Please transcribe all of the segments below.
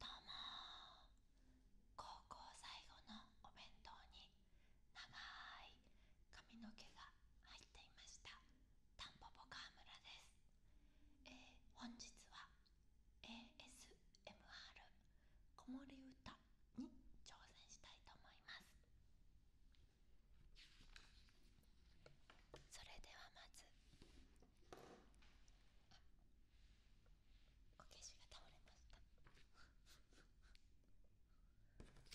どうも高校最後のお弁当に長い髪の毛が入っていましたタンポポ川村です、えー、本日は ASMR 子守歌に挑戦したいと思いますそれではまずおけしが倒れましたそれではまず「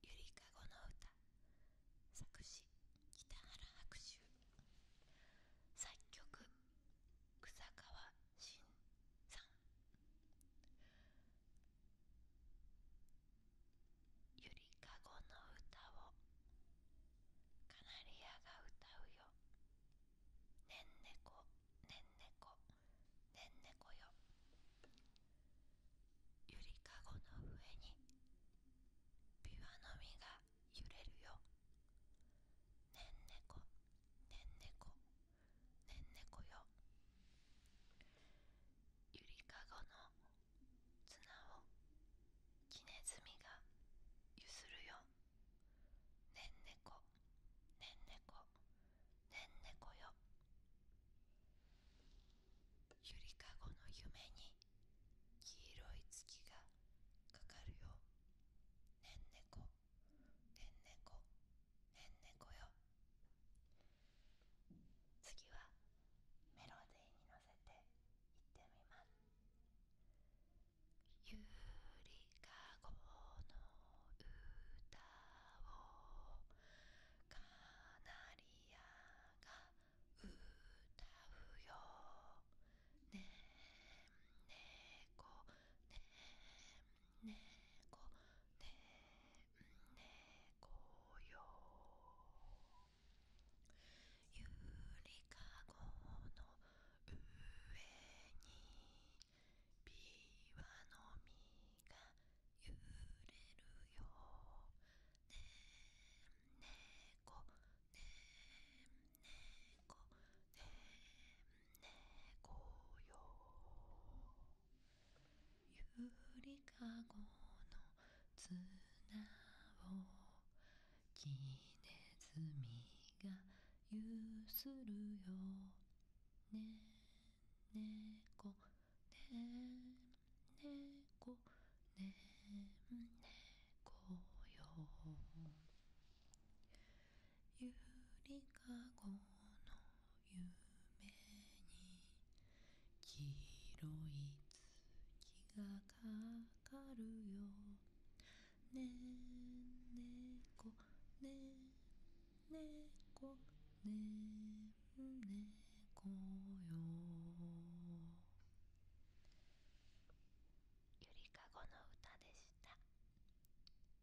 ゆりかごの歌」作詞北原白秋作曲草川慎さんゆりかごの歌をカナリアが歌うよねんねこねんねこねんねこよゆりかごの上にビワの実が揺れるよねんねこねんねこねんねこよゆりかごの綱を木ネズミがゆするよねんねこねんねこねんねこよゆりかごの夢に黄色い月がかかるよねんねこねんねこねんねこよ次はメロディーに乗せていってみます「ゆりかごの歌をカナリアが歌うよ」ね「ねんねこねんねこねねこよゆりかごの上にびわのみがゆれるよねんねこねんねこねんねこよゆりかごの綱をきねずみがゆするよねんねこねんねこねんねこよゆりかごの夢に黄色い月がかかるよねんねこねんねこねんねこよゆりかごの歌でした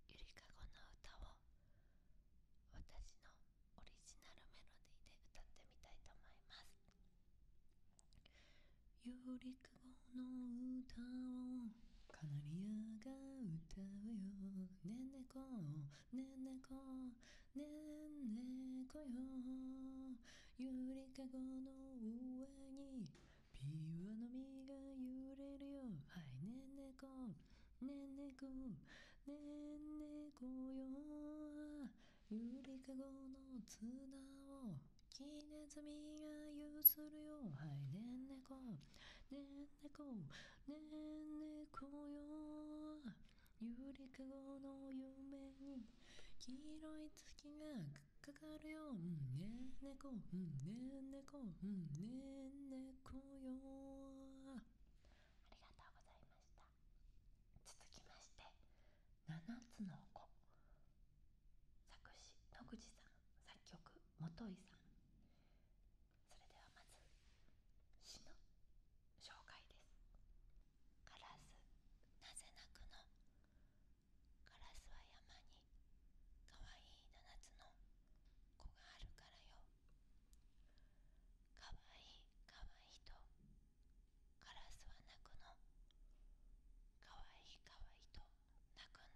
ゆりかごの歌を私のオリジナルメロディーで歌ってみたいと思います「ゆりかごの歌をカナリアが歌うよ」「ねんねこねんねこねんねこよ」「ゆりかごの上にピュの実が揺れるよ」「はいねんねこ」ねんねこねんねこよゆりかごの綱をきねずみがゆするよはいねんねこねんねこねんねこよゆりかごの夢に黄色い月がかかるよ、うんね、ねこ、ねんね、こ、ねんねこよ。ありがとうございました続きまして7つの子作詞野口さん作曲元井さんそれではまず詩の紹介です「カラスなぜ泣くのカラスは山にかわいい7つの子があるからよかわいいかわいいとカラスは泣くのかわいいかわいいと泣くんだよ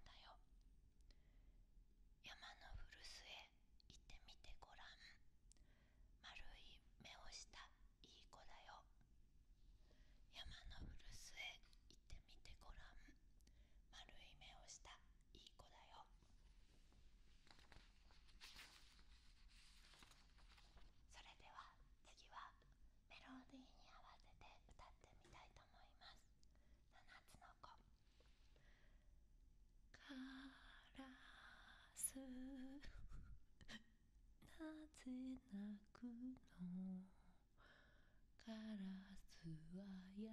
山の古巣へ行ってみてごらん丸い目をしたいい子だよ山の古巣へ行ってみてごらん丸い目をしたいい子だよそれでは次はメロディーに合わせて歌ってみたいと思いますカラスなぜ泣くのカラスは山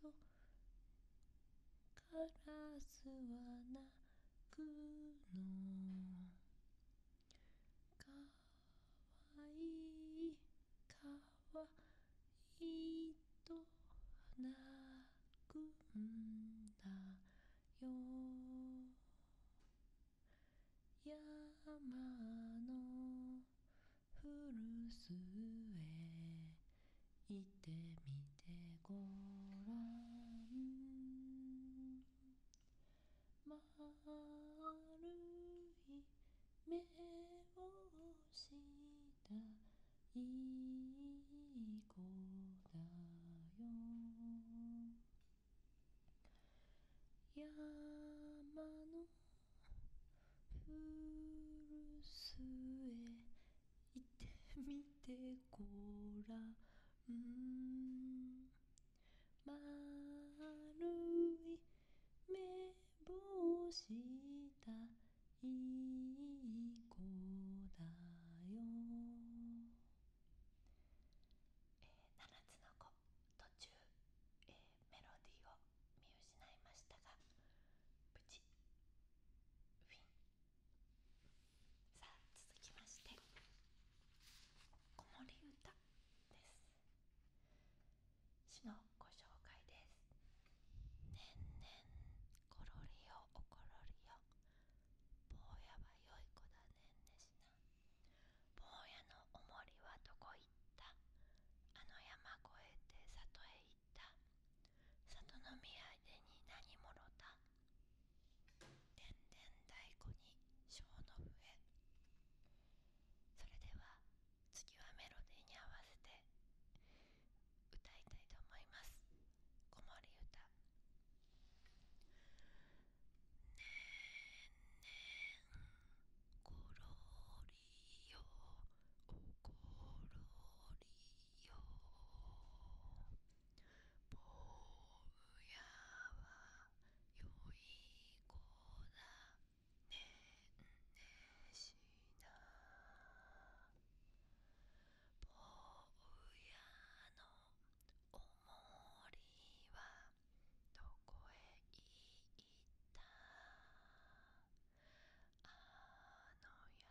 とカラスは泣くのかわいいかわいいと泣くんだよ山の古巣へ行ってみてごらん丸い目をしたいい子だよ山の古すえ、いってみてごらんまるいめぼをしたいい子だよえー、7つの子途中、えーメロディーを見失いましたがさあ続きまして「子守歌」です詩のご紹介です「ねんねんころりよおころりよ坊やはよい子だねんねしな坊やのおもりはどこ行たあの山越えて里へ行った里の土産に何もろたでんでん太鼓に小の笛それでは次はメロディーに合わせて歌いたいと思いますこ子守歌ねんねんころりよおころりよ坊やはよい子だねんねしな坊やのおもりはどこへ行いたあの山越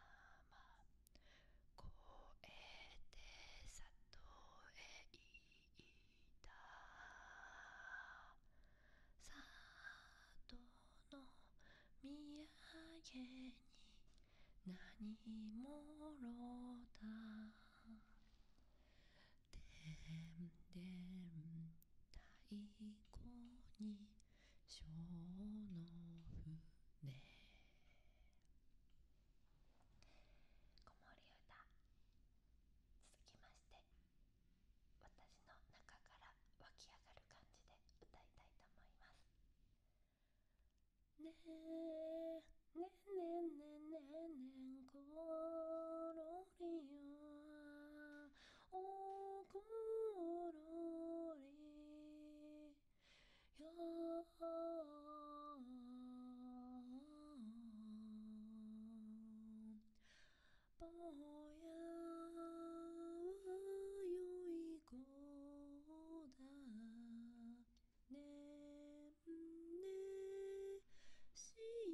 えて里へ行った里の土産に何もろた「でん太鼓に小のね。子守歌続きまして私の中から湧き上がる感じで歌いたいと思います。ねえねえねえねえねえねえころりよねんねしい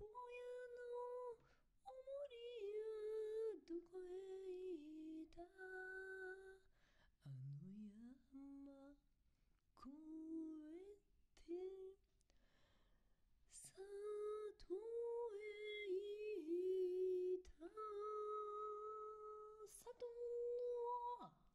なぼやのおもりはどこへ行ったあの山越えて里へいた里の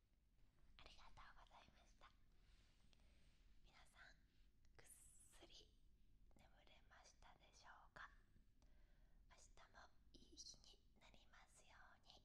ありがとうございました皆さんぐっすり眠れましたでしょうか明日もいい日になりますようにおやすみなさい